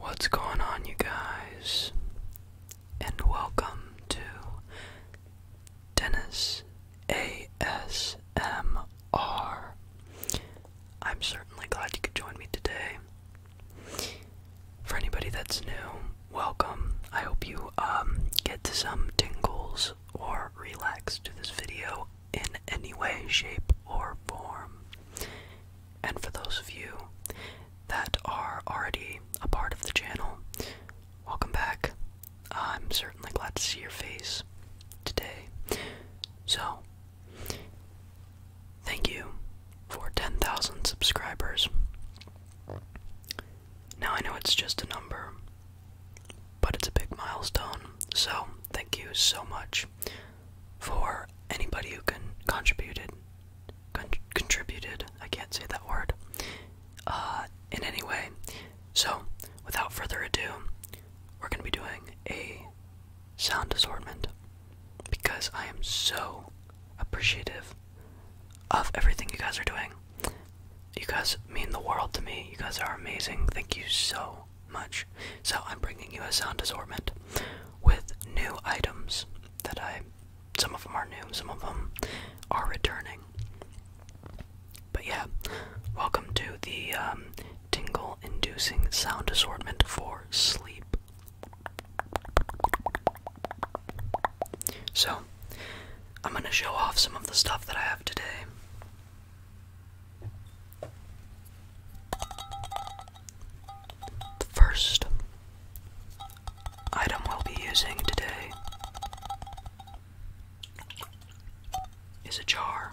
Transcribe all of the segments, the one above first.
What's going on, you guys? And welcome to Dennis ASMR. I'm certainly glad you could join me today. For anybody that's new, welcome. I hope you um, get some tingles or relax to this video in any way, shape, or form. And for those of you that are already a part of the channel, welcome back. I'm certainly glad to see your face today. So, thank you for 10,000 subscribers. Now I know it's just a number, but it's a big milestone. So, thank you so much for anybody who can contributed contributed I can't say that word uh, in any way. So without further ado, we're gonna be doing a sound assortment because I am so appreciative of everything you guys are doing. You guys mean the world to me. You guys are amazing. Thank you so much. So I'm bringing you a sound assortment with new items that I. Some of them are new, some of them are returning. But yeah, welcome to the um, tingle inducing sound assortment for sleep. So, I'm gonna show off some of the stuff that I have today. The first item we'll be using today is a jar.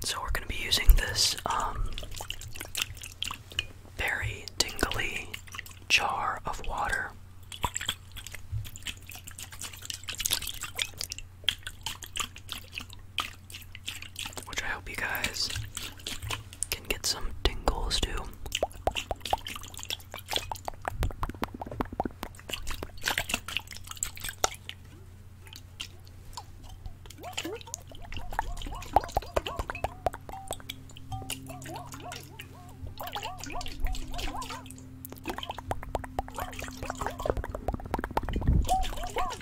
So we're going to be using this um, very tingly jar of water which I hope you guys can get some tingles too.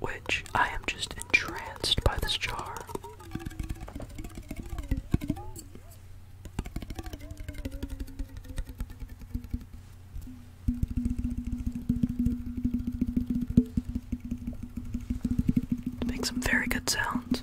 which I am just entranced by this jar. makes some very good sounds.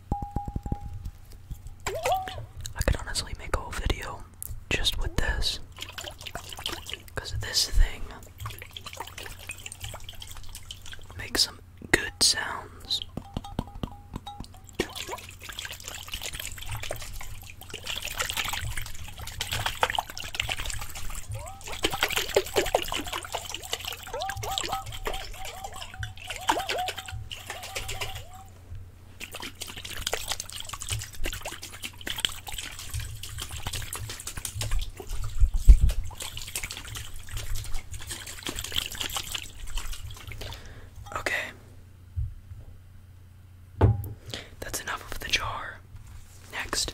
I could honestly make a whole video just with this. Because this thing makes some good sounds. Okay. That's enough of the jar. Next.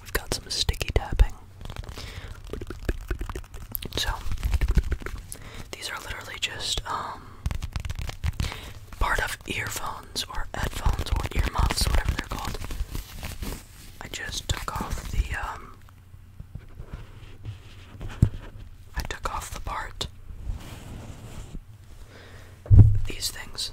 We've got some sticky tapping. So, these are literally just um, part of earphones or headphones or earmuffs, whatever they're called. I just took off the, um, I took off the part these things.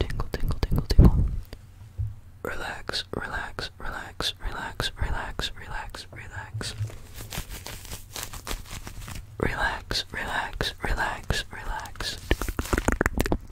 Tingle, tingle, tingle, tingle. Relax, relax, relax, relax, relax, relax, relax. Relax, relax, relax, relax.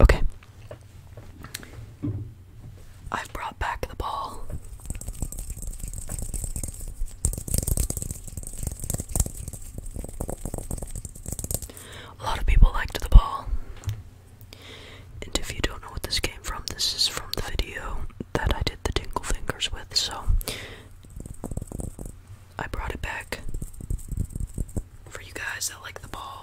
Okay. I've brought back the ball. A lot of people liked the ball. And if you don't know what this came from, this is from the video that I did the tingle fingers with, so I brought it back for you guys that like the ball.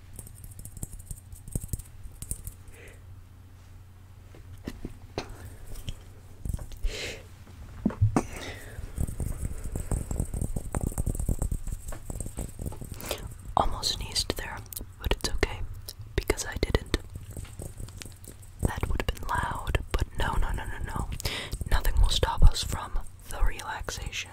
Almost sneezed there, but it's okay because I didn't. That would have been loud, but no, no, no, no, no. Nothing will stop us from the relaxation.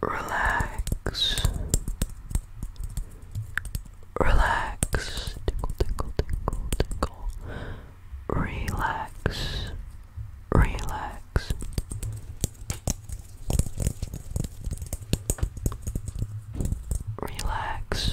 relax, relax, tickle, tickle, tickle, tickle, relax, relax. Relax.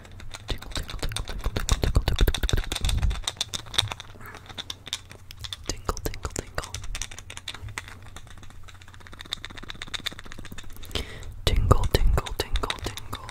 Tickle, tickle, tickle, tickle, tickle, tickle, tickle, tickle. Tinkle, tinkle, tinkle. Tingle, tingle, tingle, tingle.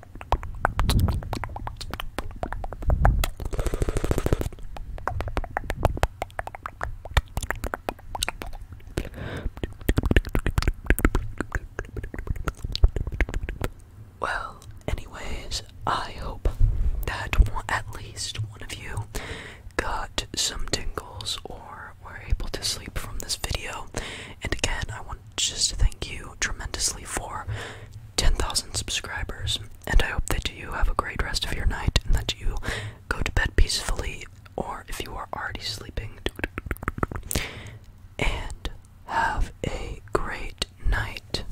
Well, anyways, I hope that at least one of you got some tingles or were able to sleep from this video. And again, I want just thank you tremendously for 10,000 subscribers. And I hope that you have a great rest of your night and that you go to bed peacefully, or if you are already sleeping, and have a great night.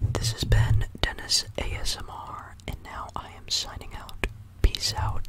This has been Dennis ASMR, and now I am signing out. Peace out.